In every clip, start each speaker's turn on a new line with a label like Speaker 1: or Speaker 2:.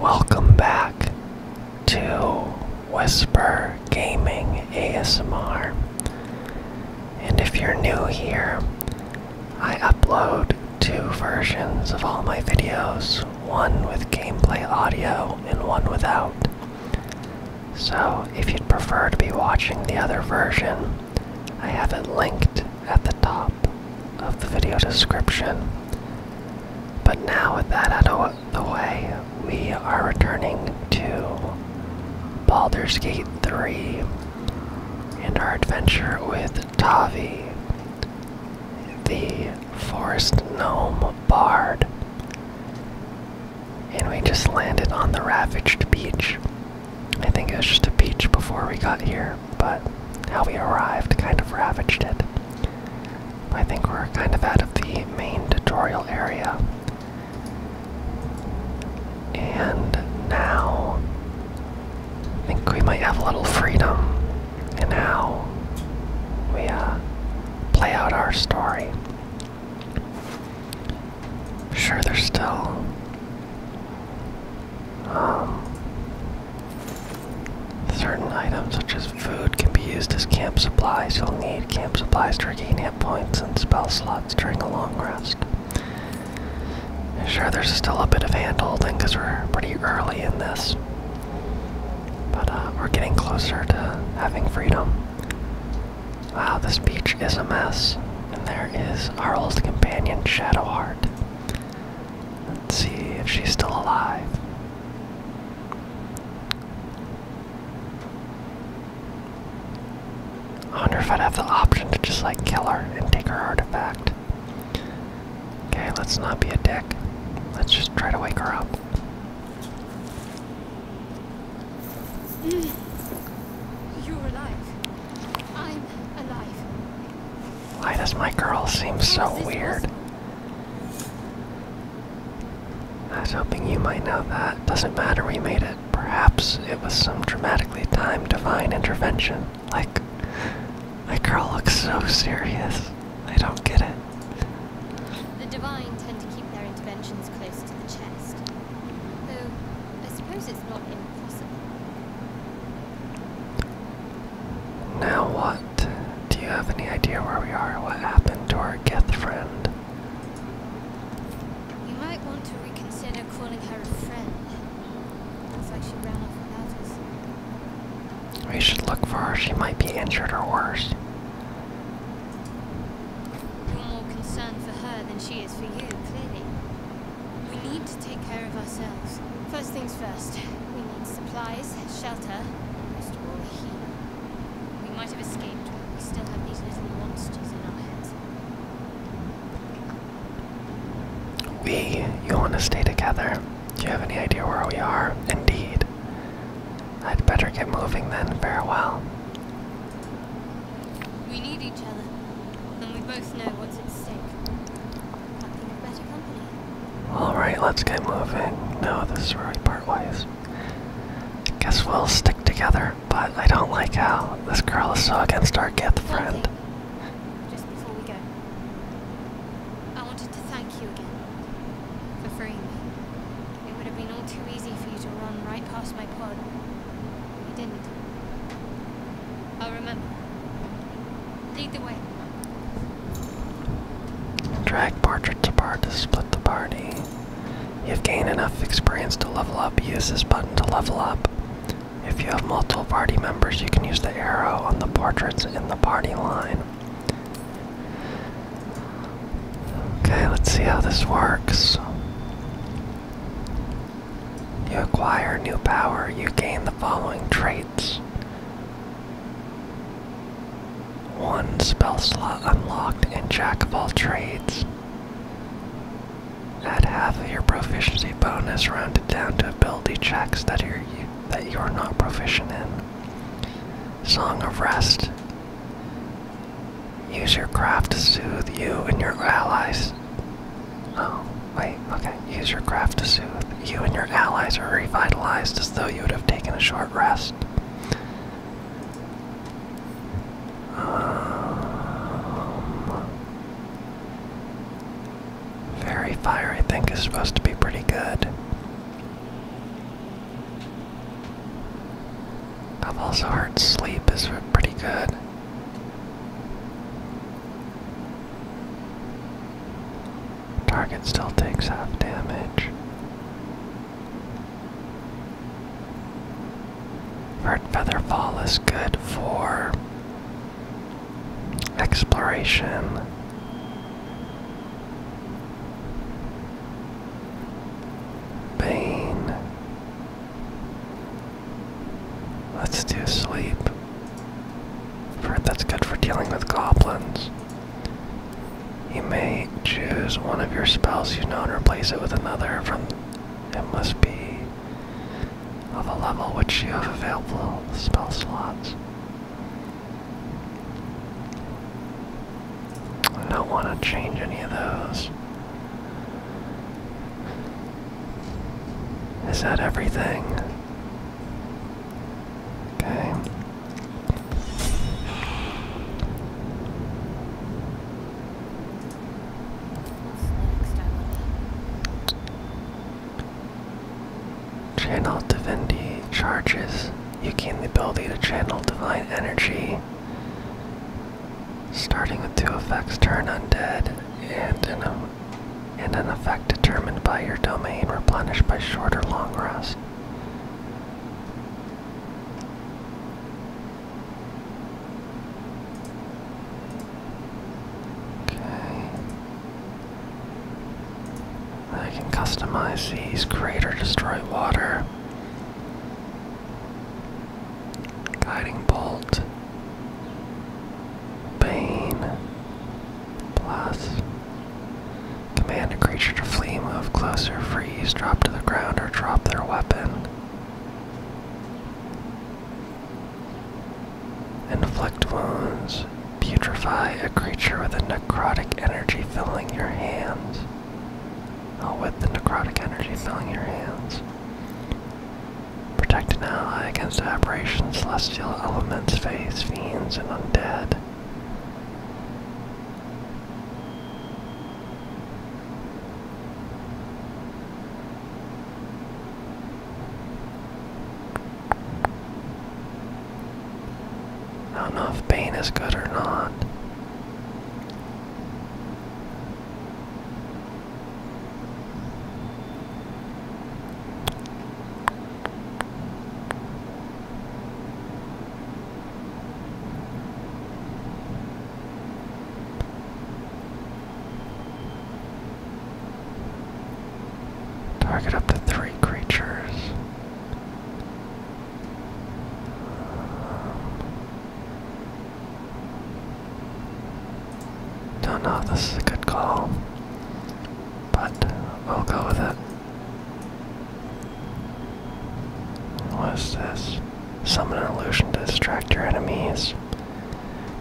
Speaker 1: Welcome back to Whisper Gaming ASMR. And if you're new here, I upload two versions of all my videos one with gameplay audio and one without. So if you'd prefer to be watching the other version, I have it linked at the top of the video description. But now, with that out of the way, we are returning to Baldur's Gate 3 and our adventure with Tavi, the Forest Gnome Bard. And we just landed on the Ravaged Beach. I think it was just a beach before we got here but how we arrived kind of ravaged it. I think we're kind of out of the main tutorial area. And now, I think we might have a little freedom and now we uh, play out our story. Sure, there's still um, Certain items such as food can be used as camp supplies. You'll need camp supplies to regain hit points and spell slots during a long rest. Sure, there's still a bit of hand holding because we're pretty early in this. But uh, we're getting closer to having freedom. Wow, this beach is a mess. And there is our old companion, Shadowheart. Let's see if she's still alive. I wonder if I'd have the option to just like kill her and take her artifact. Okay, let's not be a dick. Let's just try to wake her up. You're alive. I'm alive. Why does my girl seem so weird? I was hoping you might know that. Doesn't matter, we made it. Perhaps it was some dramatically timed divine intervention. Like, my girl looks so serious. I don't get it. The divine tend to keep their interventions close to the chest. Though, I suppose now what? Do you have any idea where we are? What happened to our death friend? You might want to reconsider calling her a friend. Looks like she ran off without us. We should look for her. She might be injured or worse. You're more concerned for her than she is for you, clearly. We need to take care of ourselves. First things first, we need supplies, shelter, most of all, healing. We might have escaped, but we still have these little monsters in our heads. We, you want to stay together? Do you have any idea where we are? Indeed. I'd better get moving then. Farewell. We need each other. And we both know what's at stake. better company. Alright, let's get moving. No, this is where we part ways. Guess we'll stick together, but I don't like how
Speaker 2: this girl is so against
Speaker 1: our gith friend. Just before we go, I wanted to thank you again for freeing me. It would have been all too easy for you to run right past my pod. We didn't. I'll remember. Lead the way. Drag portraits apart to split the party. You've gained enough experience to level up. Use this button to level up. If you have multiple party members, you can use the arrow on the portraits in the party line. Okay, let's see how this works. You acquire new power, you gain the following traits. One spell slot unlocked in Jack of all trades. Add half of your proficiency bonus rounded down to ability checks that you're, that you are not proficient in. Song of Rest. Use your craft to soothe you and your allies Oh, wait, okay. Use your craft to soothe. You and your allies are revitalized as though you would have taken a short rest. Um, fire, I think, is supposed to be pretty good. I've also heard sleep is pretty good. Target still takes half damage. Bird Feather Fall is good for exploration. Bane. Let's do sleep. heard that's good for dealing with goblins. You may choose one of your spells you know and replace it with another from it must be of a level which you have available spell slots. I don't want to change any of those. Is that everything? Okay. Channel divinity charges. You gain the ability to channel divine energy. Starting with two effects, turn undead and and an effect determined by your domain replenished by short or long rest. Okay. I can customize these, create or destroy water. Guiding bolt. Bane. Plus. Command a creature to flee, move closer, freeze, drop to the ground, or drop their weapon. Inflict wounds. Putrefy a creature with a necrotic energy filling your hands. Oh, with the necrotic energy filling your hands. Protect an ally against aberrations, celestial elements, fays, fiends, and undead. I don't know if Bane is good or not. Target up to three creatures. Don't know if this is a good call, but we'll go with it. What's this? Summon an illusion to distract your enemies.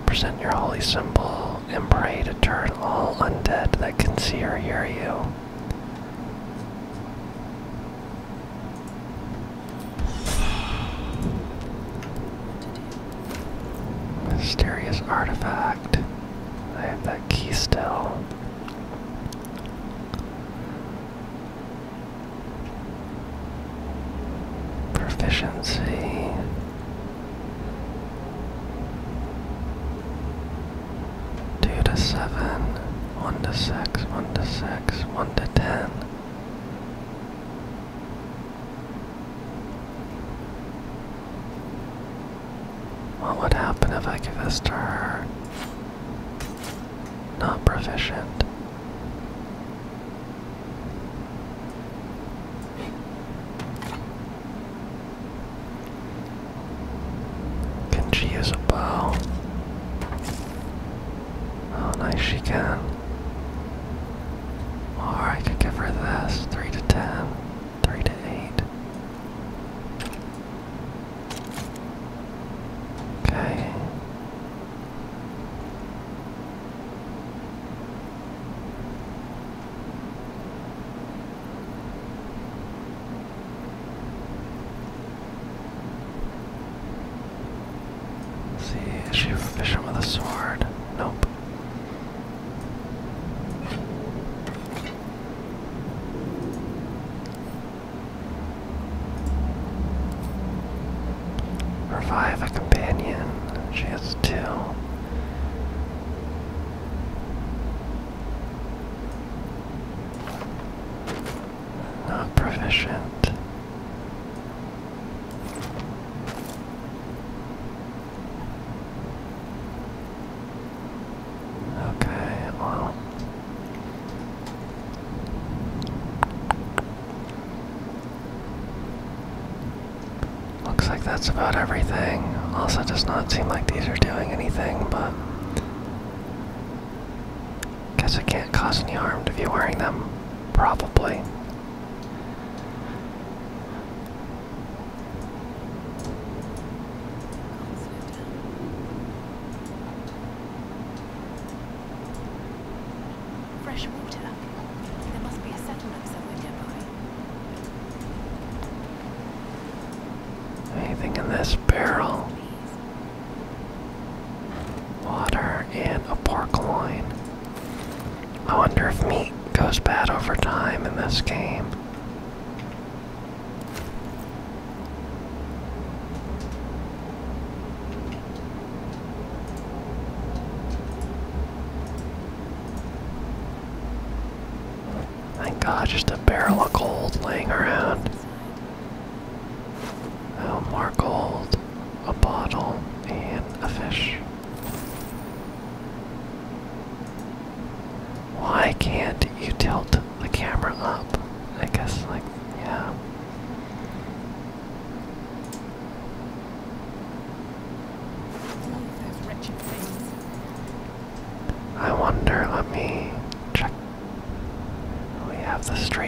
Speaker 1: Present your holy symbol and pray to turn all undead that can see or hear you. Mysterious artifact. I have that key still. Proficiency. Two to seven, one to six, one to six, one to ten. What would happen if I give this to her? Not proficient. Can she use a bow? Oh, nice, she can. Or I could give her this. 3 to 10. 3 to 8. Okay see, is she a with a sword? Nope. Revive a companion. She has two. Not proficient. Okay, well. Looks like that's about everything. Also does not seem like these are doing anything, but guess it can't cause any harm to be wearing them. Probably. Fresh water. There must be a settlement somewhere nearby. Anything in this barrel? Water and a park line. I wonder if meat goes bad over time in this game. Thank God, just a barrel of gold laying around. Oh, more gold, a bottle, and a fish. Why can't you tilt the camera up? I guess, like, yeah. I wonder, let me check. We have the street.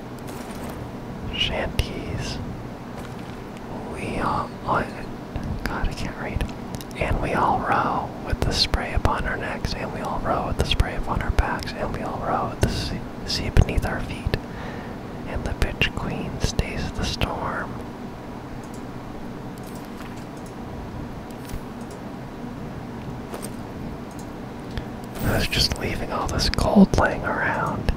Speaker 1: shanties. We all, oh, God, I can't read. And we all row with the spray upon our necks, and we all row with the spray upon our backs, and we all row with the sea, beneath our feet. And the bitch queen stays the storm. I was just leaving all this gold laying around.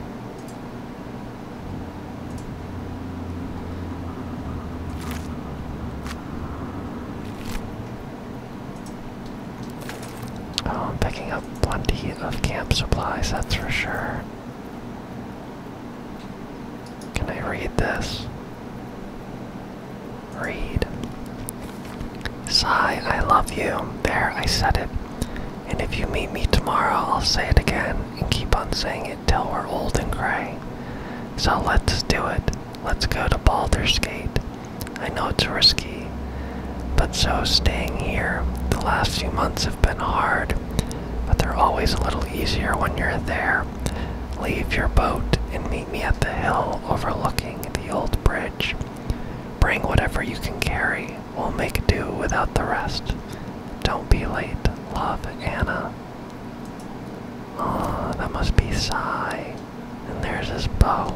Speaker 1: Oh, I'm picking up plenty of camp supplies, that's for sure. Can I read this? Read. Si, I love you. There, I said it. And if you meet me tomorrow, I'll say it again and keep on saying it till we're old and gray. So let's do it. Let's go to Baldur's Gate. I know it's risky, but so staying here. The last few months have been hard, but they're always a little easier when you're there. Leave your boat and meet me at the hill overlooking the old bridge. Bring whatever you can carry. We'll make do without the rest. Don't be late. Love, Anna. Oh, that must be Sigh. And there's his boat.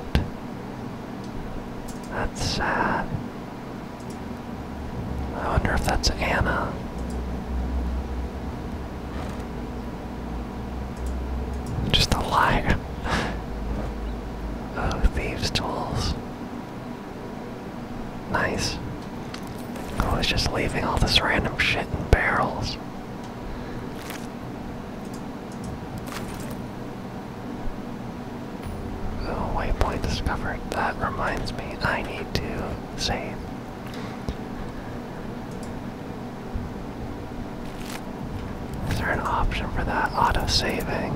Speaker 1: That's sad. I wonder if that's Anna. Just a liar. Oh, thieves' tools. Nice. I was just leaving all this random shit in barrels. waypoint discovered. That reminds me, I need to save. Is there an option for that auto saving?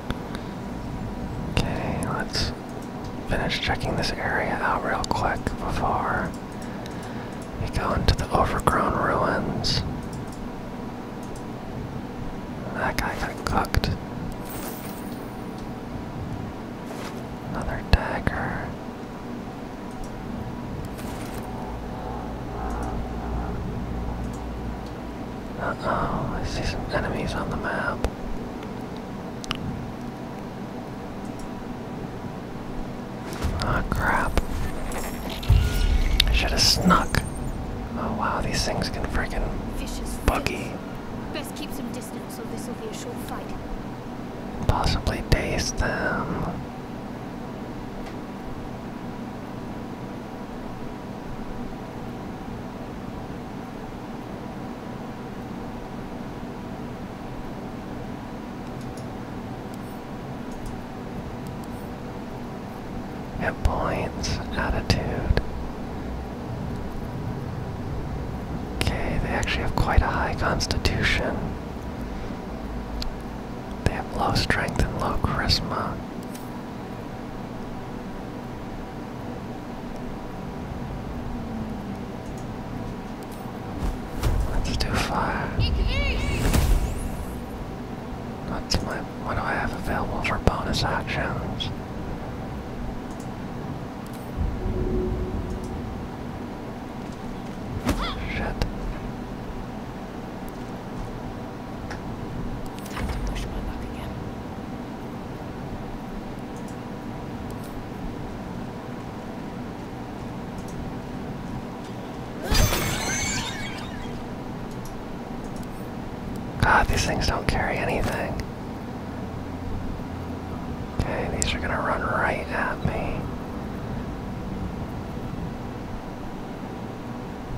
Speaker 1: Okay, let's finish checking this area out real quick before we go into the overgrown ruins. That guy got cooked. Another dagger. Uh-oh, I see some enemies on the map. oh, crap. I should have snuck. Oh wow, these things can freaking buggy. Best keep some distance so this will be a short fight. Possibly daze them. At points, attitude. Okay, they actually have quite a high constitution. They have low strength and low charisma. That's too far. What do I have available for bonus actions? Shit. God, these things don't carry anything. Okay, these are gonna run right at me.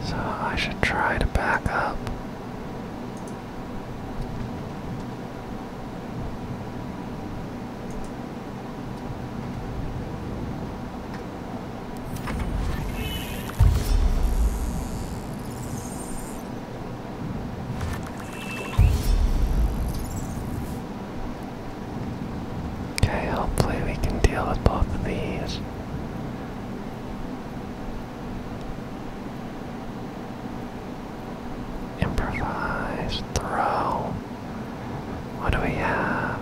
Speaker 1: So I should try to back up. Okay, hopefully we can deal with both of these. Improvise, throw. What do we have?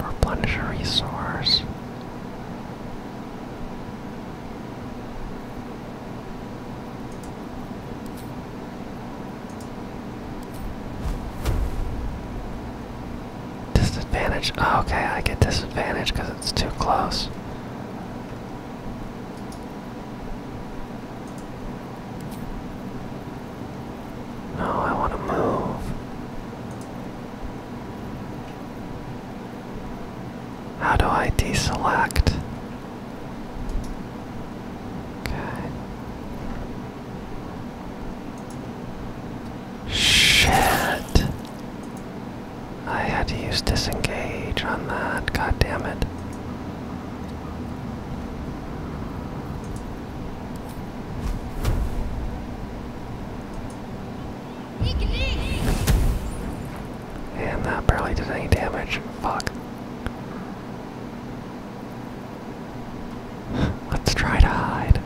Speaker 1: Replenish a resource. Disadvantage. Oh, okay, I get disadvantage because it's too close. No, I want to move. How do I deselect? Okay. Shit. I had to use disengage on that. God damn it. And that barely did any damage. Fuck. Let's try to hide.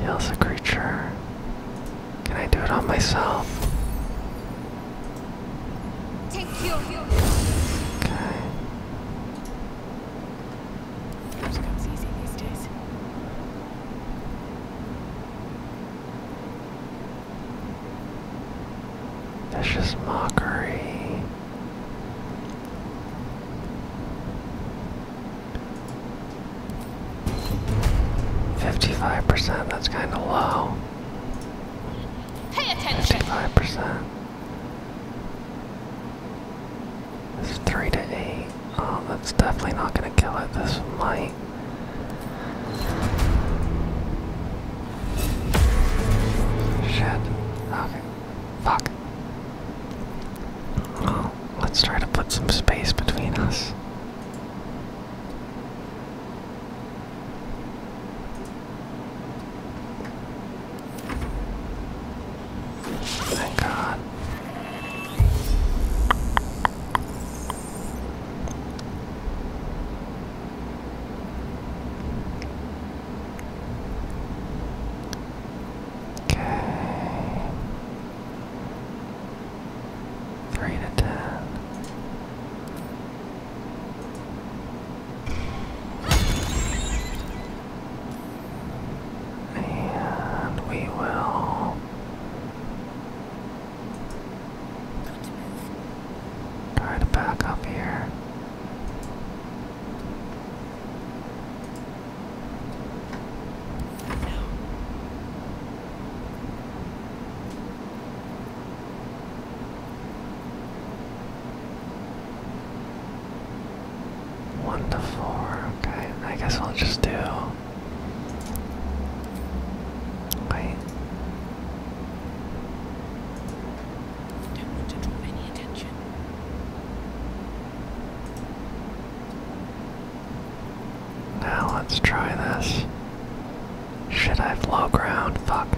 Speaker 1: Heals a creature. Can I do it on myself? Okay. Those comes easy these days. That's just mockery. Fifty-five percent. That's kind of low. Pay attention. Fifty-five percent. It's three to eight. Oh, that's definitely not gonna kill it. This might. Shit. Okay. Fuck. Oh, let's try to put some space between us. Thank God. Okay. Three to ten. And we will try to back up here. One to four. Okay, I guess we will just do. Wait. Don't draw any attention. Now let's try this. Should I have ground? Fuck.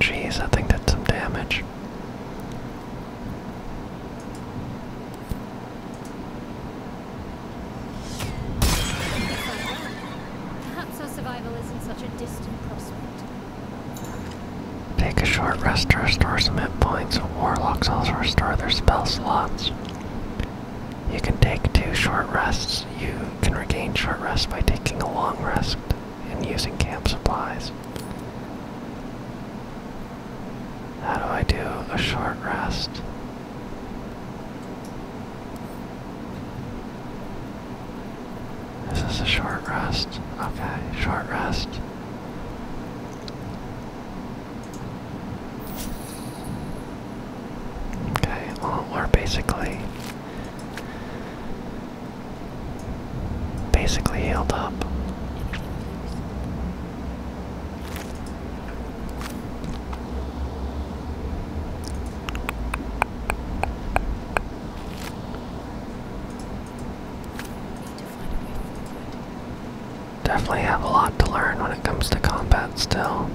Speaker 1: Jeez, I think that's some damage. Perhaps our survival isn't such a distant prospect. Take a short rest to restore some hit points. Warlocks also restore their spell slots. You can take two short rests. You can regain short rest by taking a long rest and using camp supplies. How do I do a short rest? This is a short rest. Okay, short rest. Okay, well, we're basically. Basically healed up. Definitely have a lot to learn when it comes to combat still.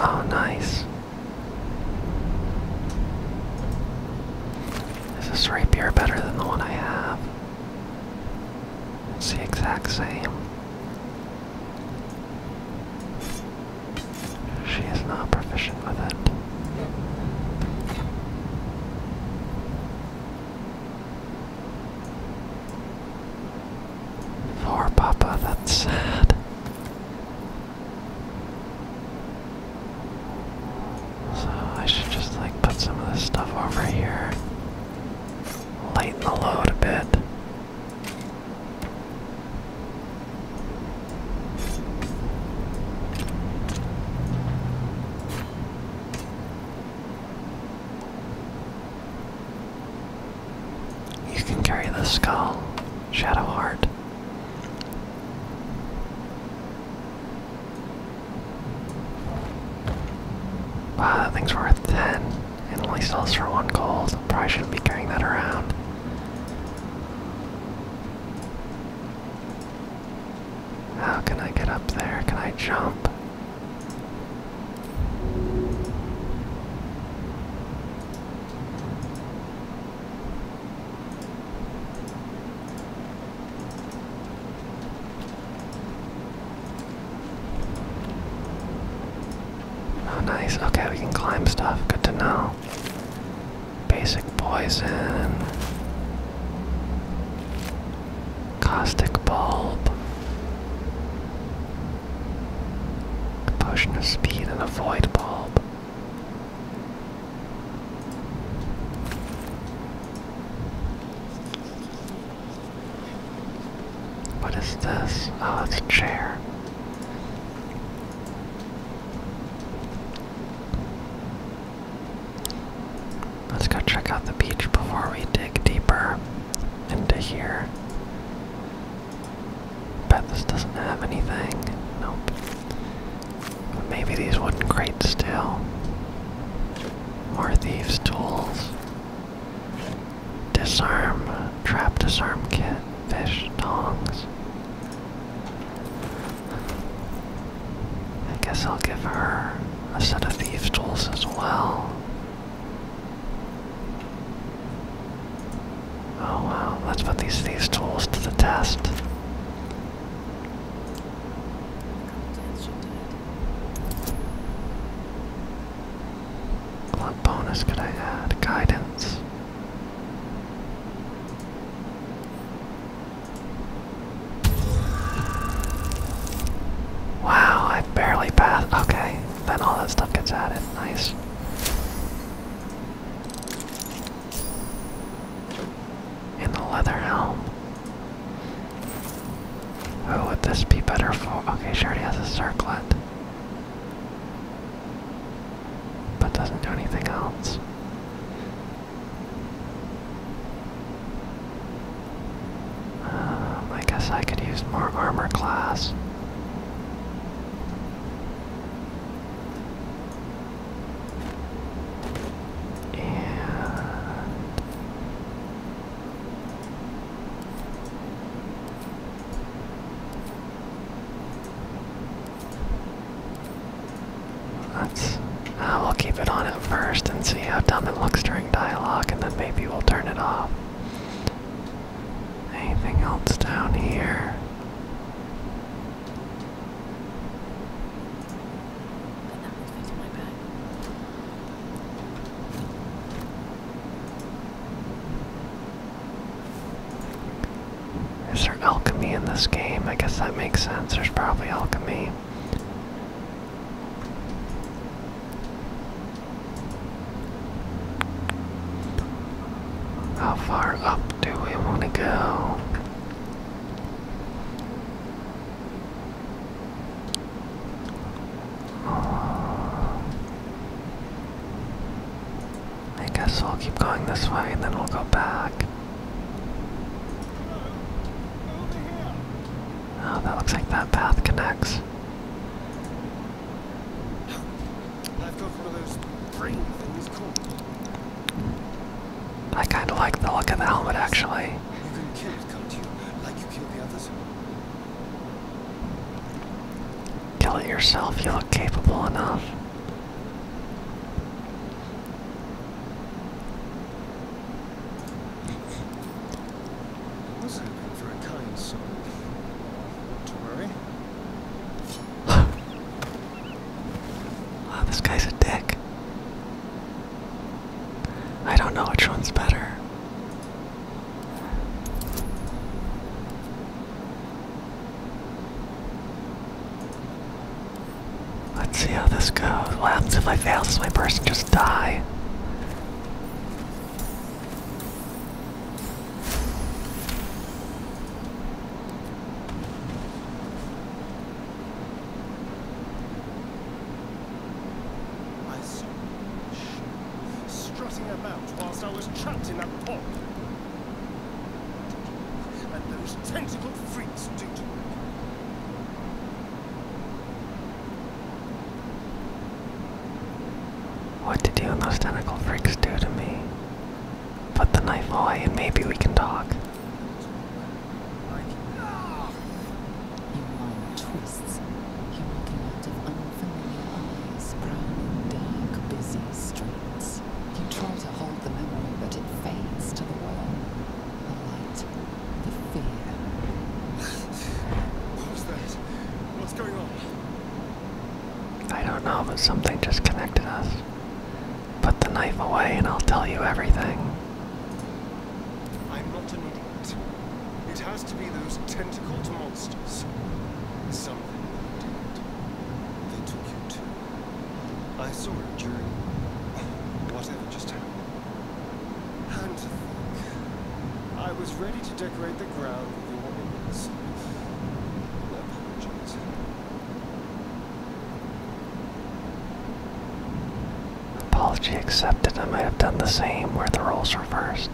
Speaker 1: Oh, nice. Is this rapier better than the one I have? It's the exact same. She is not proficient with it. Poor Papa, that's sad. So I should just like put some of this stuff over here. Lighten the load a bit. You can carry the skull, Shadow Heart. that thing's worth ten. It only sells for one gold. Probably shouldn't be carrying that around. How can I get up there? Can I jump? Oh, nice. Okay, we can climb stuff. Good to know. Basic poison. Caustic bulb. potion of speed and a void bulb. What is this? Oh, it's a chair. Let's go check out the beach before we dig deeper into here. Bet this doesn't have anything. Nope. maybe these wooden crates still. More thieves' tools. Disarm, trap disarm kit, fish, tongs. I guess I'll give her a set of thieves' tools as well. Oh wow, let's put these thieves' tools to the test. What bonus could I add? Guidance. Wow, I barely passed. Okay, then all that stuff gets added. Nice. In the leather helm. Who would this be better for? Okay, she has a circlet but doesn't do anything else. Um, I guess I could use more armor class. And Let's, uh, we'll keep it on at first and see how dumb it looks during dialogue, and then maybe we'll turn it off. Anything else down here? Is there alchemy in this game? I guess that makes sense. There's probably alchemy. How far up do we want to go? I guess we'll keep going this way and then we'll go back. Oh, that looks like that path connects. I kind of like the look of the helmet actually. Kill it yourself, you look capable enough. Wasn't for a kind soul. Don't worry. wow, this guy's a dick. I don't know which one's better. Let's see how this goes. What happens if I fail? Does my person just die? I saw you strutting about whilst I was trapped in that pot. And those tentacle freaks do to me. What did you and those tentacle freaks do to me? Put the knife away and maybe we can talk. Ah! Your mind twists, he will connect with unfamiliar eyes, prowling dark, busy streets. You try to hold the memory, but it fades to the world, The light, the fear. what was that? What's going on? I don't know, but something just connected us. Put the knife away and I'll tell you everything. I'm not an it. has to be those tentacled monsters. Something they did. They took you too. I saw it during whatever just happened. And I was ready to decorate the ground with your image. I apologize. Apology accepted. I might have done the same where the roles reversed.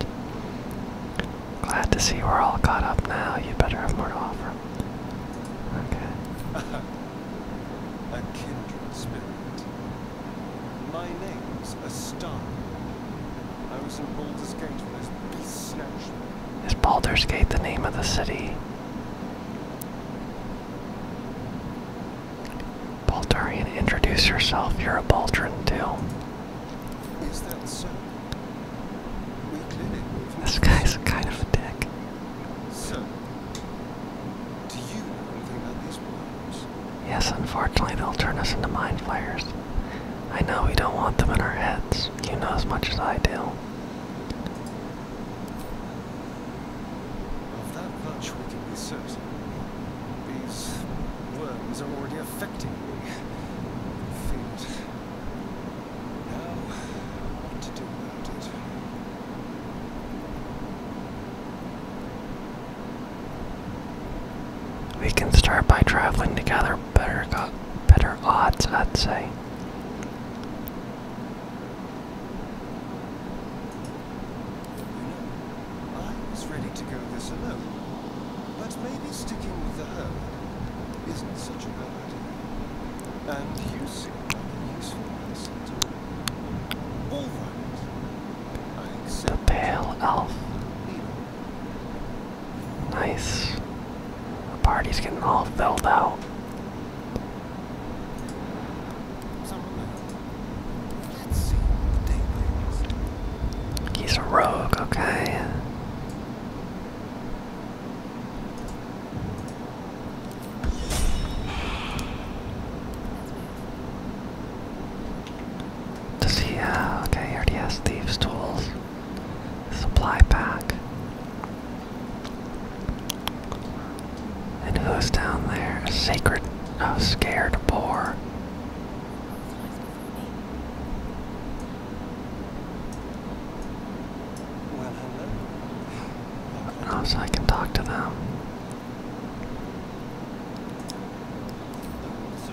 Speaker 1: Glad to see we're all caught up now. You better have more to offer. Okay. a kindred spirit. My name's Astana. I was in Baldur's Gate when this beast snatched Is Baldur's Gate the name of the city? Baltarian, introduce yourself. You're a Baltran too. Is that so? This guy's kind of a dick. Yes, unfortunately, they'll turn us into mind flayers. I know we don't want them in our heads. You know as much as I do. Of that much we can be certain. These worms are already affecting me. Now, what to do We can start by traveling together better got better odds, I'd say. I was ready to go this alone, but maybe sticking with the herd isn't such a bad idea. And you seem like a useful person to All right. I accept. A pale elf. Nice. The party's getting all filled out. He's a rogue, okay. Does he, uh, okay, he thieves' tools. Supply pack. And who's down there? A sacred, oh, scared boar. Well, hello. I I can talk to them.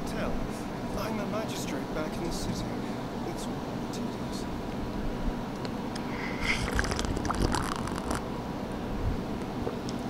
Speaker 1: Tell. I'm a magistrate back in the city. It's tedious.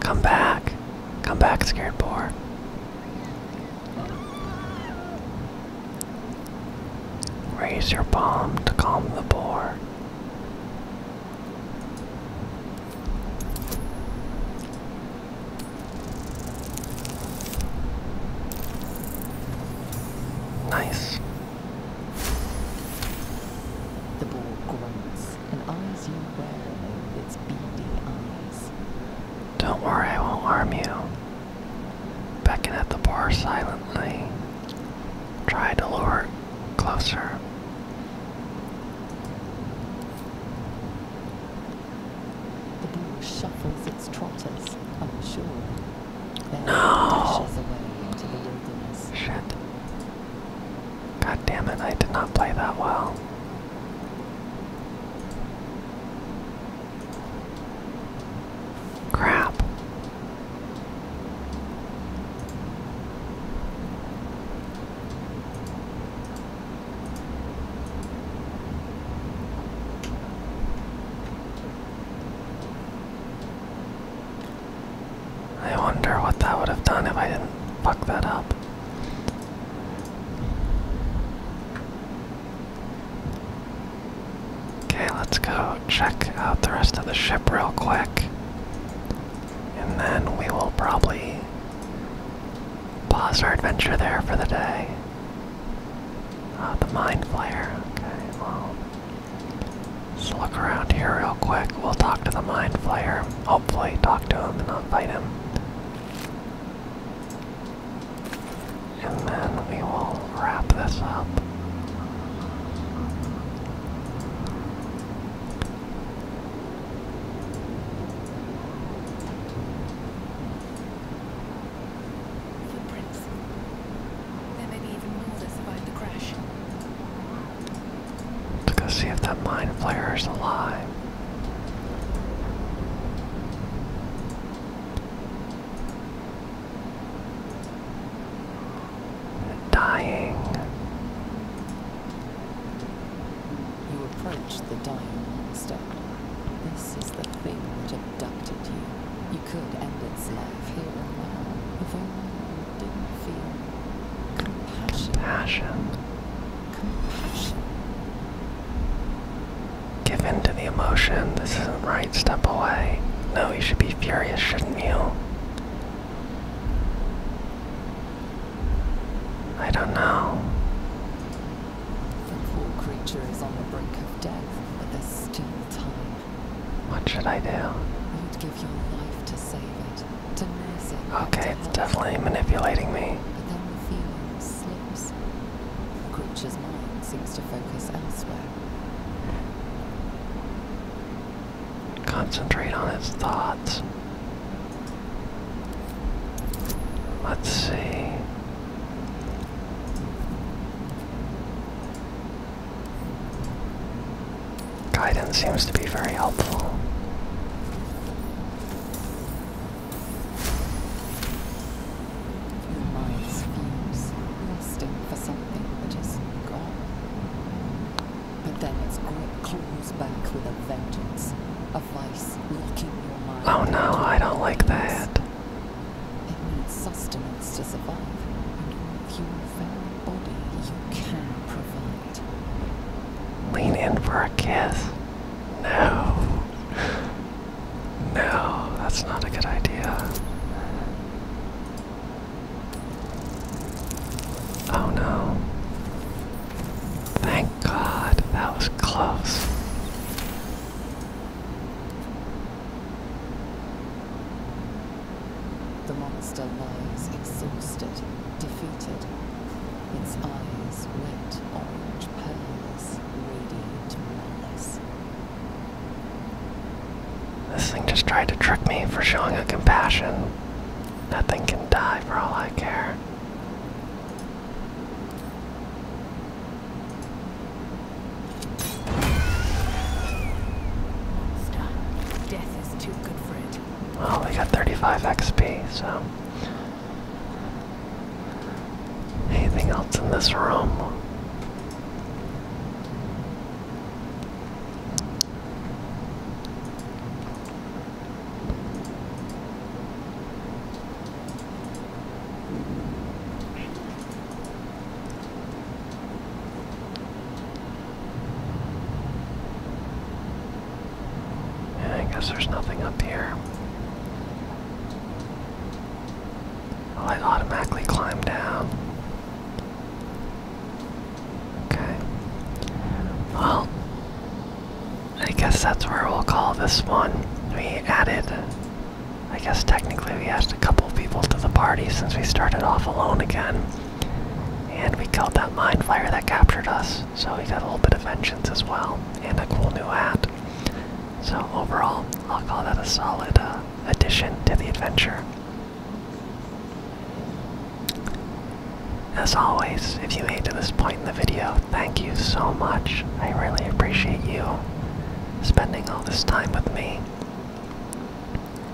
Speaker 1: Come back. Come back, scared boar. Raise your palm to calm the boar. Nice. The boar grunts and eyes you wear with its
Speaker 2: beady eyes. Don't worry, I won't harm
Speaker 1: you. Beckon at the bar silently. Try to lure it closer. The boat shuffles its trotters unsure. Then no. dashes away into the wilderness. Shit. God damn it, I did not play that well. Crap. I wonder what that would have done if I didn't fuck that up. Okay, let's go check out the rest of the ship real quick. And then we will probably pause our adventure there for the day. Ah, the Mind flare. Okay, Let's look around here real quick. We'll talk to the Mind Flayer. Hopefully, talk to him and not fight him. And then we will wrap this up. There may be even more that survived the crash. Let's go see if that mind flayer
Speaker 2: is alive.
Speaker 1: Dying. You approached the dying monster. This is the thing that abducted you. You could end its life here and now, if only didn't feel compassion. Compassion. Compassion. Give in to the emotion. This isn't right. Step away. No, you should be furious, shouldn't you? I don't know. The poor creature is on the brink of death, but there's still time. What should I do? your life to save it, to nurse it. Okay, it's definitely manipulating me. But then the feeling slips. The creature's mind seems to focus elsewhere. Concentrate on its thoughts. Let's see. Guidance seems to be very helpful. My schemes, lusting for something that is gone. But then its grip claws back with a vengeance, a vice locking your mind. Oh no, I don't like that. It needs sustenance to survive, with your very body you can provide. Lean in for a kiss. No. No, that's not a good idea. Oh no. Thank God, that was close. The monster lies exhausted, defeated. Its eyes wet orange pearls to malice. This thing just tried to trick me for showing a compassion. Nothing can die for all I care. Stop. Death Oh, we got 35 XP, so. Anything else in this room? I guess there's nothing up here. Well, I automatically climb down. Okay. Well, I guess that's where we'll call this one. We added, I guess technically we added a couple people to the party since we started off alone again. And we killed that mind flyer that captured us, so we got a little bit of vengeance as well, and a cool new hat. So overall, I'll call that a solid uh, addition to the adventure. As always, if you made to this point in the video, thank you so much. I really appreciate you spending all this time with me.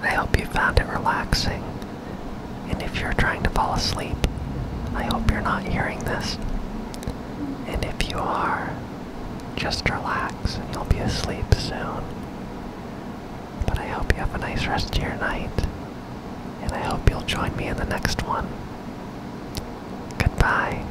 Speaker 1: I hope you found it relaxing. And if you're trying to fall asleep, I hope you're not hearing this. And if you are, just relax and you'll be asleep soon. But I hope you have a nice rest of your night. And I hope you'll join me in the next one. Goodbye.